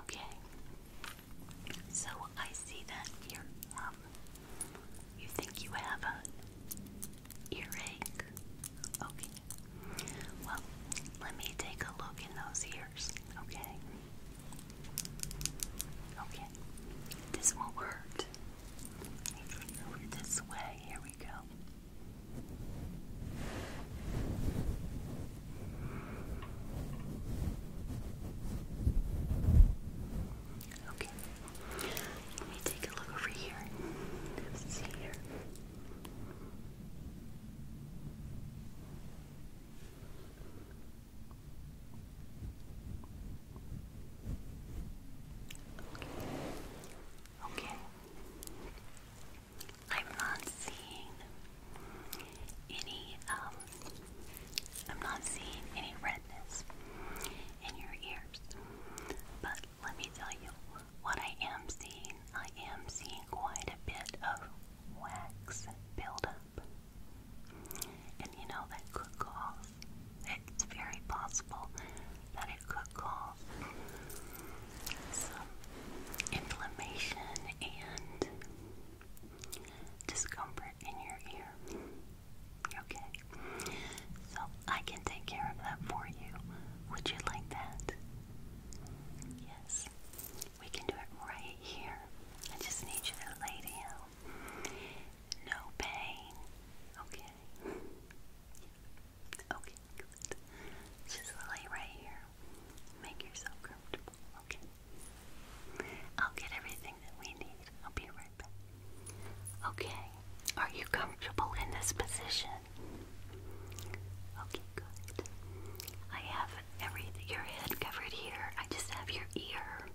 Okay, so I see that you're, um, you think you have an earache. Okay, well, let me take a look in those ears, okay? Okay, this won't hurt. Let this way. Here we go. Okay. Let me take a look over here. Let's see here. Okay. Okay. I'm not seeing any, um, I'm not seeing any redness in your ears. But let me tell you what I am seeing. I am seeing quite a bit of wax buildup. And you know, that could cause, it's very possible that it could cause some inflammation and discomfort in your ear. Okay, so I can take care of that for you. Would you like that? Yes, we can do it right here. I just need you to lay down. No pain. Okay. Okay, good. Just lay right here. Make yourself comfortable, okay? I'll get everything that we need. I'll be right back. Okay, are you comfortable in this position? Okay, good. I have every your head covered here. I just have your ear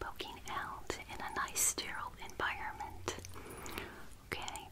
poking out in a nice sterile environment okay?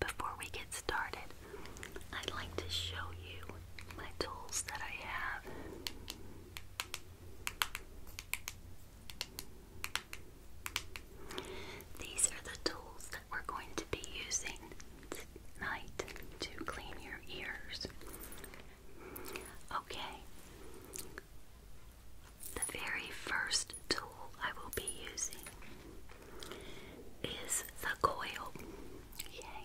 Before we get started, I'd like to show you my tools that I have. These are the tools that we're going to be using tonight to clean your ears. Okay, the very first tool I will be using is the coil. Yay.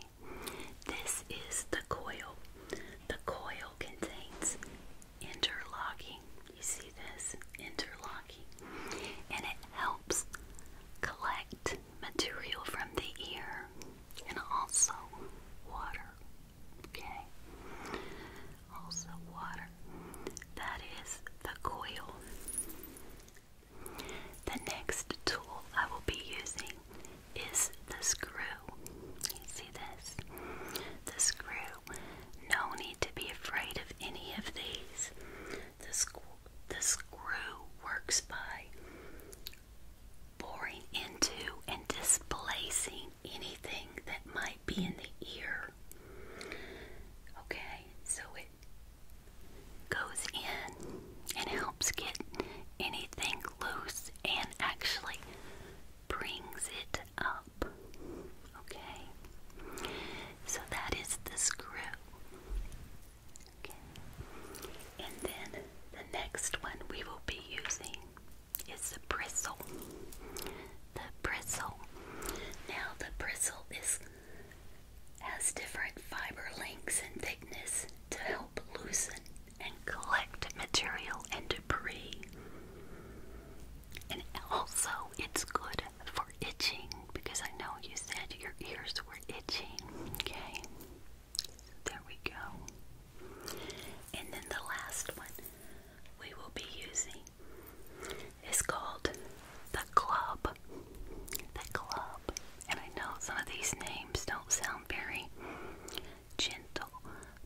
This is the coil. The coil contains interlocking. You see this? Interlocking. And it helps collect material from the ear and also water. Okay? Also water. That is the coil. The next tool I will be using is the screw. see this? The screw. No need to be afraid of any of these. The, the screw works by boring into and displacing anything that might be in the ear. Okay, so it goes in and helps get anything loose and actually brings it up. Okay? So that is the screw. Okay. And then the next one we will be using is the bristle. The bristle. Now the bristle is has different fiber lengths and thickness to help loosen and collect material and debris. And also, it's good for itching because I know you said your ears were itching. Okay, there we go. And then the last one we will be using it's called the club. The club. And I know some of these names don't sound very gentle,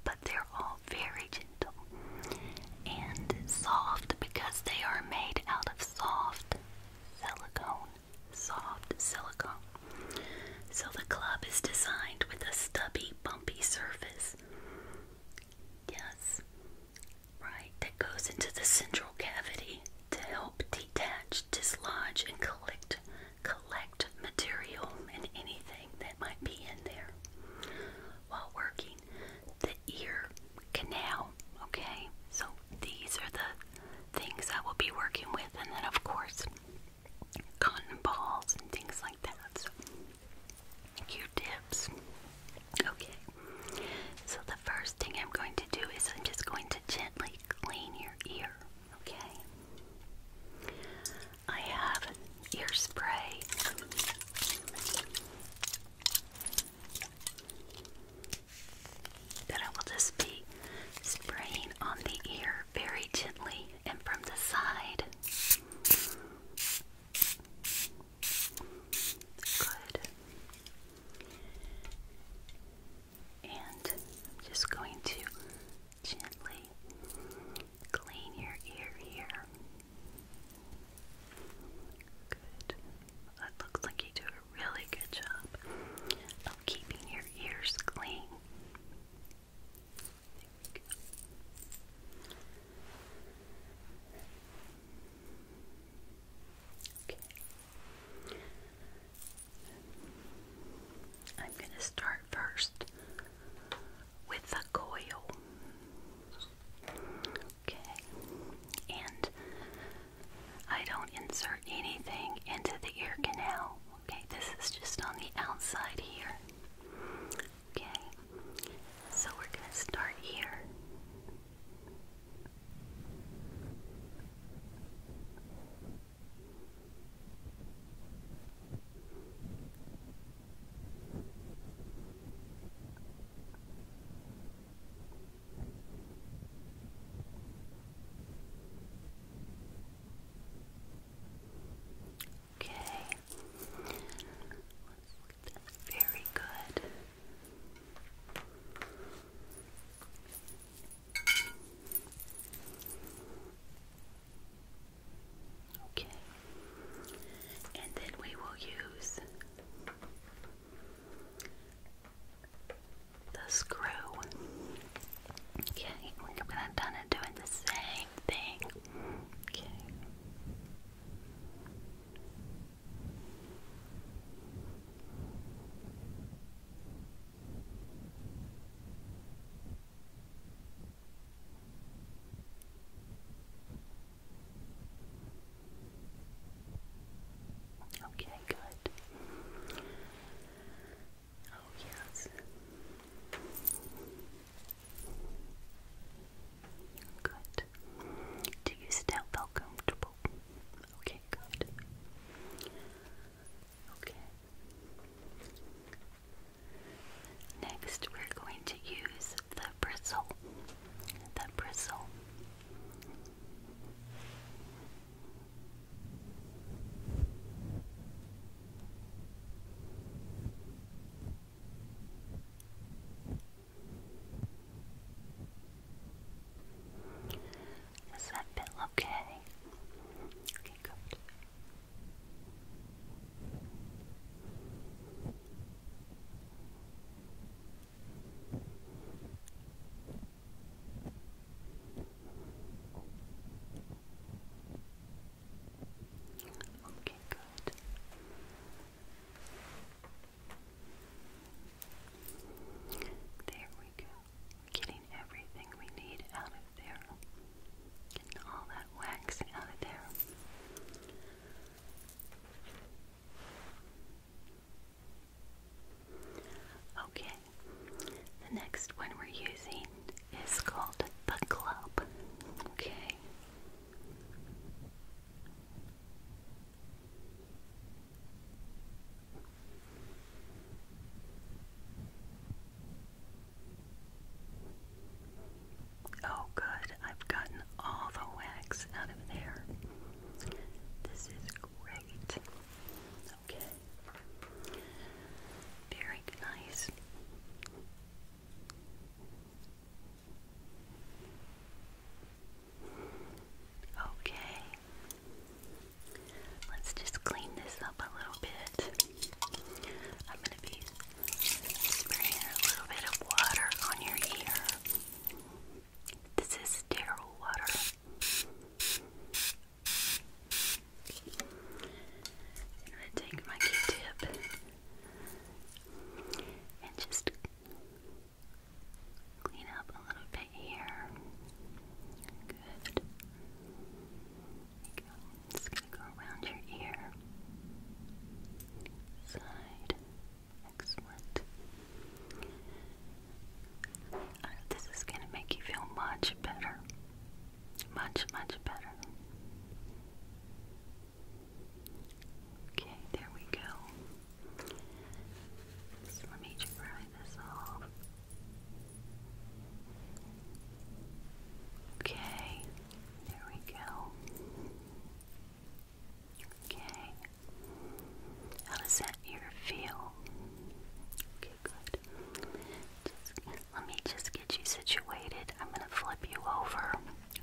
but they're all very gentle and soft because they are made out of soft silicone. Soft silicone. So the club is designed with a stubby, bumpy surface. Yes, right, that goes into the central cavity to help detach, dislodge, and collect collect material and anything that might be in there while working the ear canal. Okay, so these are the things I will be working with, and then of course cotton balls and things like that. Q-tips. Okay, so the first thing I'm going to do is I'm just going to gently clean your ear. Okay, I have ear spray. That I will just be spraying on the ear very gently and from the side. Good. And I'm just going to gently clean your ear here. Good. That looks like you do a really good job of keeping your ears clean. Okay. I'm going to start first with the coil. Okay. And I don't insert anything into the ear canal. Okay, this is just on the outside here. Okay, so we're going to start here. Okay, very good. Okay. And then we will use the screw. Okay, we're gonna done it doing the same thing. Okay. Okay, good. Oh, yes. Good. Do you still feel comfortable? Okay, good. Okay. Next, we're going to use the bristle. The bristle. Does that bit okay? Okay, good. Okay, good. There we go. getting everything we need out of there. Getting all that wax out of there. Okay, the next one we're using is called the club. Okay, Oh, good. I've gotten all the wax out of there. This is great. Okay. Very nice. Okay. Let's just clean this up a little bit. I'm going to be spraying a little bit of water on your ear. This is sterile water. I'm going to take my Q-tip and just clean up a little bit here. Good. you go. Just gonna go around your ear. Side. Excellent. this is gonna make you feel much better. Much, much better. Okay, there we go. let me try this off. Okay, there we go. Okay. How does that ear feel? Okay, good. Just, let me just get you situated, I'm going to flip you over,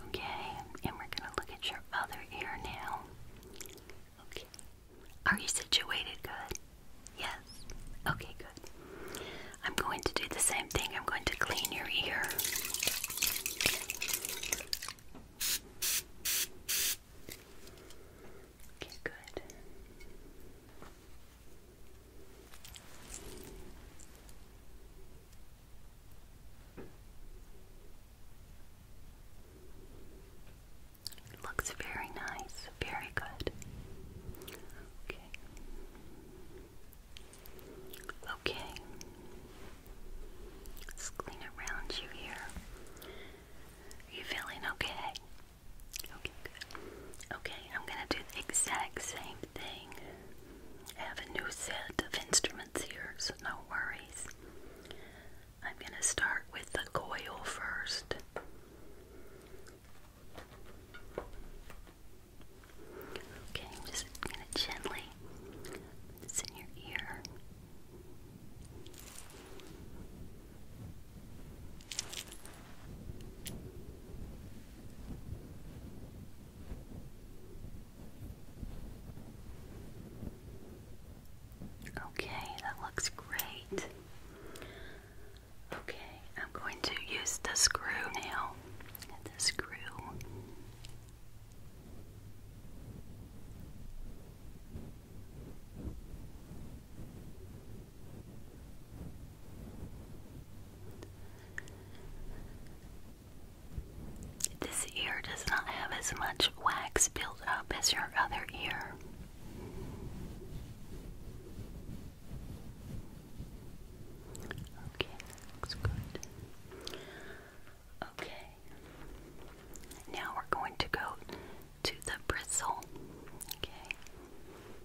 okay? And we're going to look at your other ear now. Okay. Are you situated good? Yes. Okay, good. I'm going to do the same thing. I'm going to clean your ear. Okay, good. It looks very nice, very good. Okay. Okay. Let's clean around you here. Are you feeling okay? Okay, good. Okay, I'm gonna do the exact same I have a new set of instruments here, so no worries. I'm going to start with the coil first. Okay, I'm just going to gently put this in your ear. Okay, that looks great. Okay, I'm going to use the screw now. The screw. This ear does not have as much wax built up as your other ear. Okay, looks good. Okay, now we're going to go to the bristle. Okay.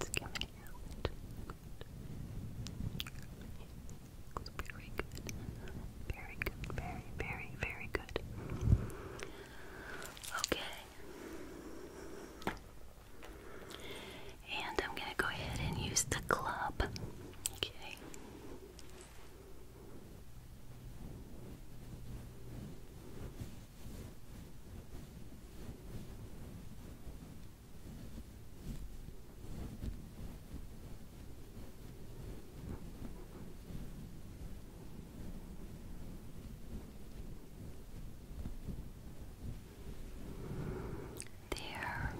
it's coming out. It's very good. Very good. Very, very, very good. Okay. And I'm going to go ahead and use the club. Okay. There.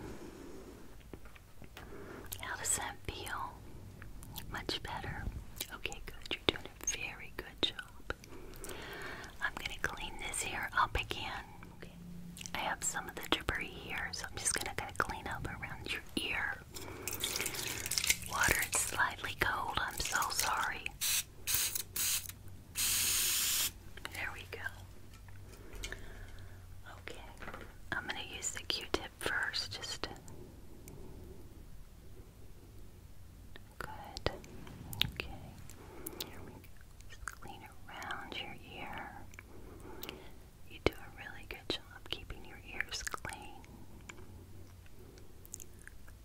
How does that feel? Much better. Okay, good. You're doing a very good job. I'm going to clean this here up again. I have some of the debris here, so I'm just going to kind of clean up around your ear. Water, it's slightly cold. I'm so sorry. There we go. Okay. I'm going to use the Q-tip first just Good. Okay. clean around your ear. You do a really good job keeping your ears clean.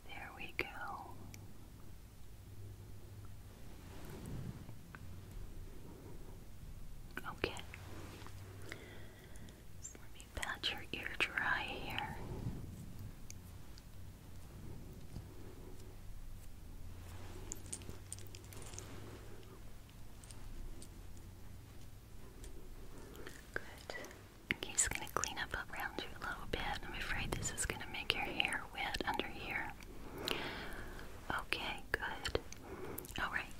There we go. Okay pat your ear dry here. Good. Okay, just gonna clean up around you little bit. I'm afraid this is gonna make your hair wet under here. Okay, good. Alright.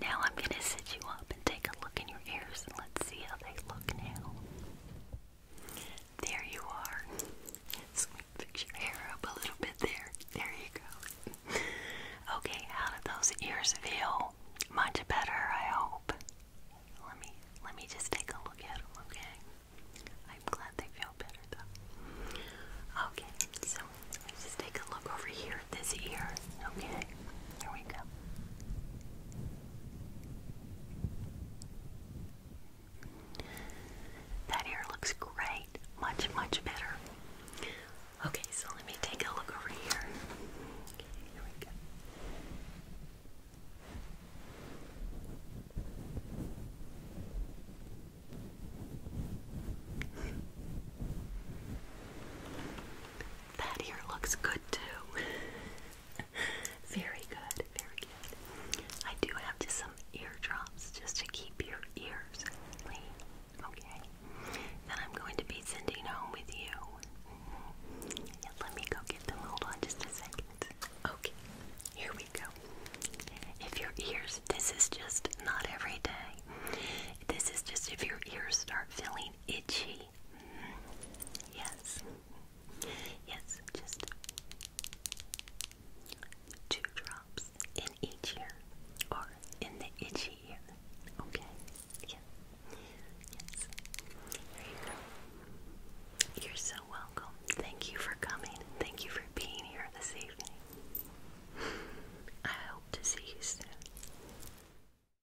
Now I'm gonna sit you up and take a look in your ears and let's see how they look now. There you are. let me fix your hair up a little bit there. There you go. Okay, how did those ears feel? Much better, I hope. Let me let me just take a look at them, okay? I'm glad they feel better though. Okay, so let's just take a look over here this ear. Okay, here we go. That hair looks great, much, much better. Okay, so let me take a look over here. here we go. That here looks good too. very good, very good. I do have just some eardrops just to keep your ears clean. Okay. Then I'm going to be sending home with you. Mm-hmm. let me go get them. Hold on just a second. Okay, here we go. If your ears, this is just not every day. This is just if your ears start feeling itchy Yes. Yes, just two drops in each ear or in the itchy ear. Okay. Yeah. Yes. There you go. You're so welcome. Thank you for coming. Thank you for being here this evening. I hope to see you soon.